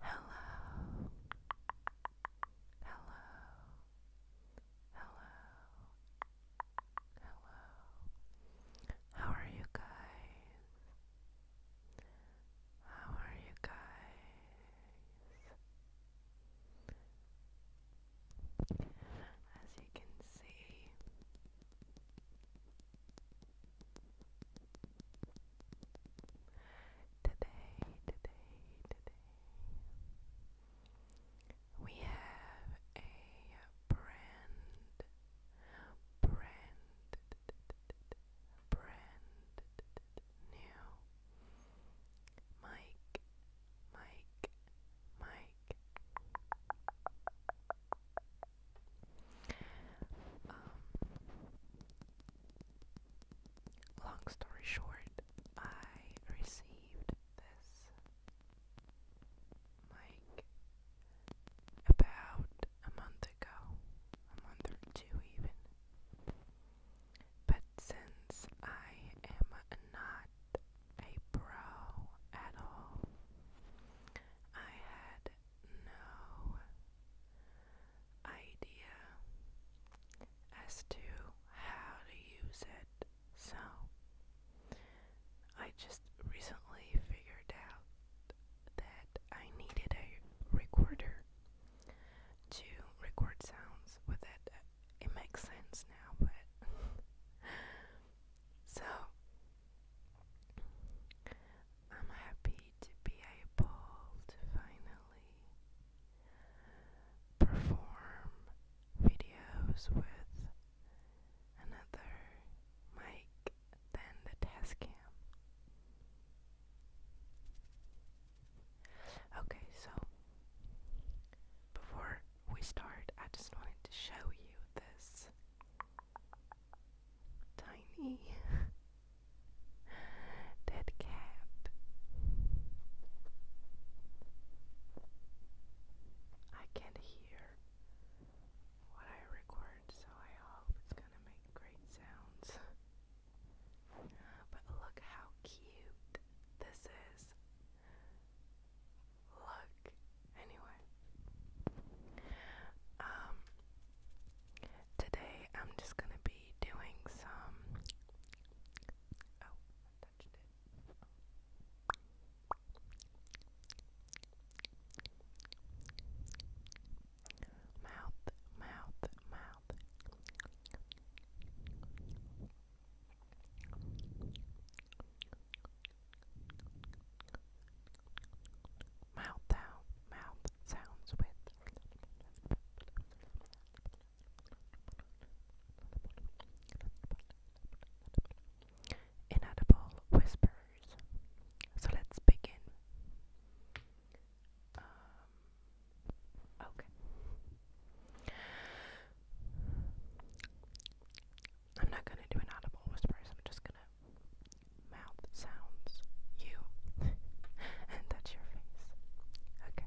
Hello. Hello. Hello. Hello. How are you guys? How are you guys? as you can see. Today, today, today, we have a brand, brand, brand new mic Mike, Mike. Um, long story short, I received this mic about a month ago, a month or two even. But since I am not a pro at all. I had no idea as to how to use it, so I just recently figured out that I needed a recorder to record sounds with it. It makes sense now, but So I'm happy to be able to finally perform videos with another mic than the test cam. Okay, so before we start, I just wanted to show you this tiny dead cat. I can't hear what I record, so I hope it's gonna make great sounds. But look how cute this is look. Anyway, um, today I'm just gonna be doing some. Oh, I touched it. Mouth, mouth, mouth. Mouth out, mouth sounds with inedible whispers. So let's begin. Um, okay. I'm not gonna do an audible whisper. I'm just gonna mouth sounds you and touch your face. Okay.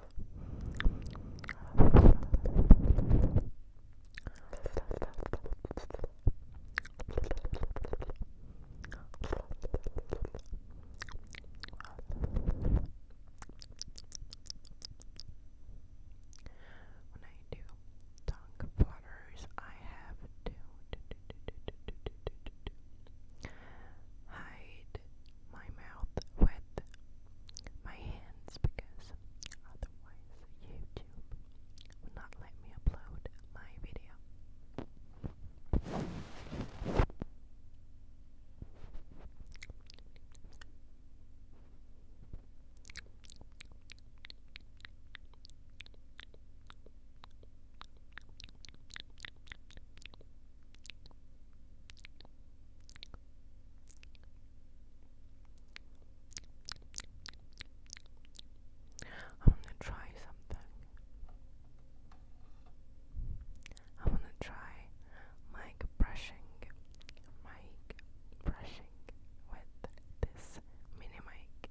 When I do tongue flutters, I have to hide my mouth with my hands because otherwise YouTube will not let me upload my video. I am going to try something. I am going to try mic brushing, mic brushing with this mini mic.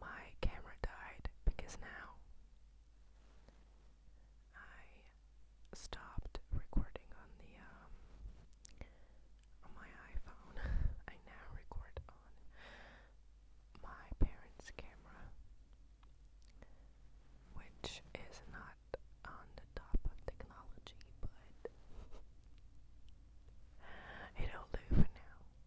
my camera died because now I stopped recording on the um, on my iPhone. I now record on my parents' camera, which is not on the top of technology, but it'll do for now.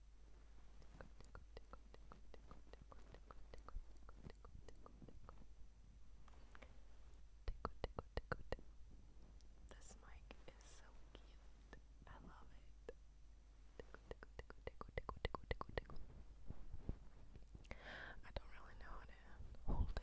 This mic is so cute. I love it. I don't really know how to hold it.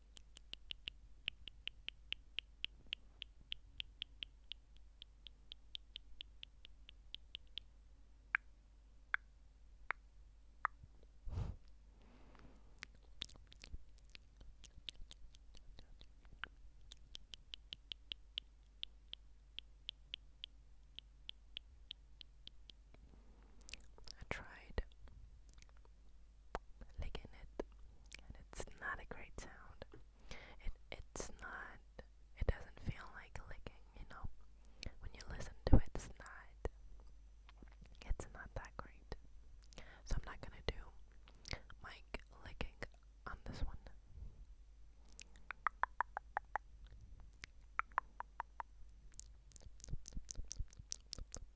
I tried licking it, and it's not a great sound. It it's not. It doesn't feel like licking, you know. When you listen to it, it's not. It's not that great. So I'm not gonna do mic licking on this one.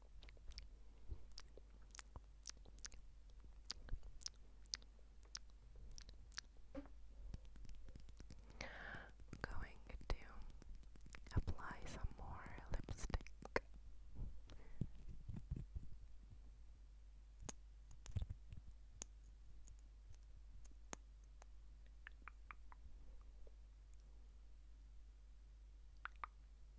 I'm going to apply some more lipstick.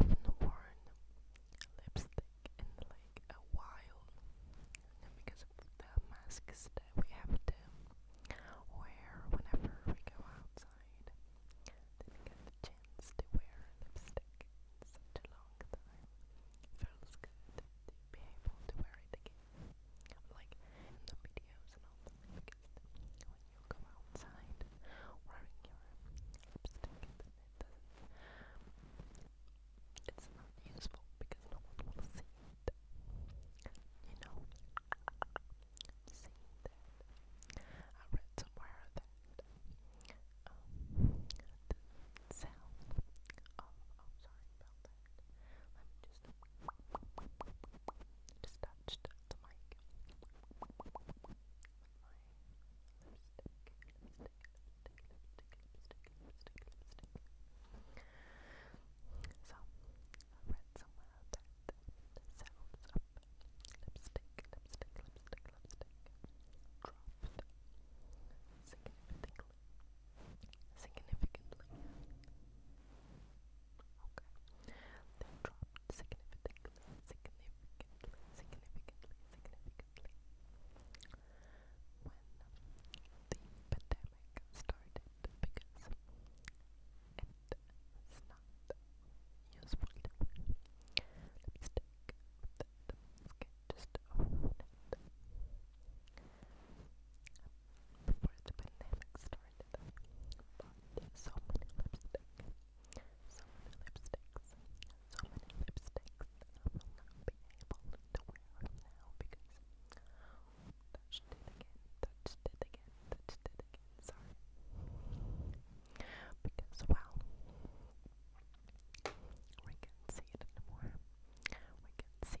I've not worn lipstick in like a while because of the masks that we have to wear whenever we go outside. Didn't get the chance to wear lipstick in such a long time. Feels good to be able to wear it again like in the videos and all the when you go outside wearing your lipstick it's not useful because no one will see it. You know I read somewhere that um the sound of oh, sorry about let me just touched the mic with my lipstick, lipstick, lipstick, lipstick, lipstick, lipstick, lipstick. So I read somewhere that sounds of lipstick, lipstick, lipstick, lipstick dropped significantly Significantly. Okay. They dropped significantly, significantly, significantly, significantly. When the pandemic started it's not useful to wear just before the pandemic started. Bought so many lipsticks, so many lipsticks, so many lipsticks I will not be able to wear now because touched it again, touched it again, touched it again. Sorry. Because well, we can see it anymore. We can see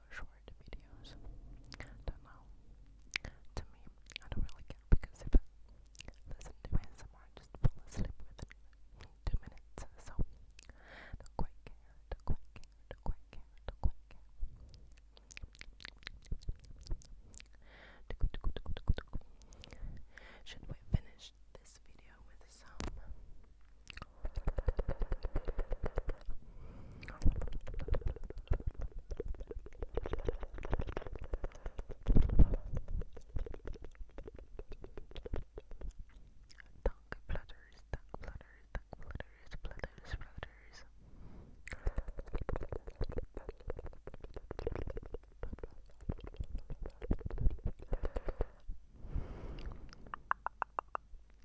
short videos. Don't know. To me, I don't really care because if I listen to ASMR, I just fall asleep within two minutes. So, don't don't don't don't Should we finish this video with some Tongue flutters, tongue flutters, tongue flutters, flutters, flutters.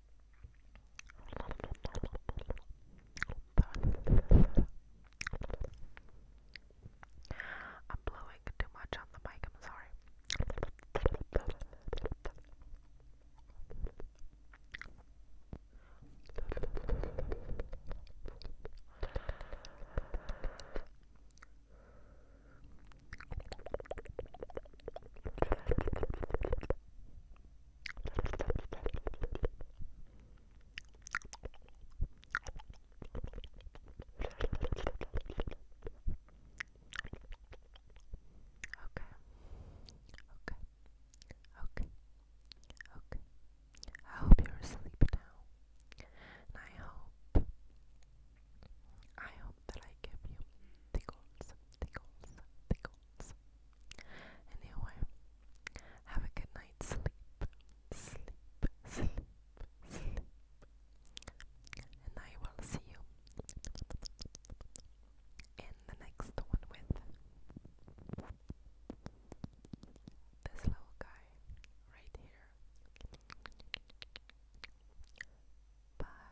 I'm blowing too much on the mic, I'm sorry. Okay. Okay. Okay. Okay. I hope you're asleep now. And I hope I hope that I give you tickles, tickles, tickles, friends. Anyway, have a good night's sleep. Sleep, sleep, sleep. And I will see you in the next one with this little guy right here. Bye.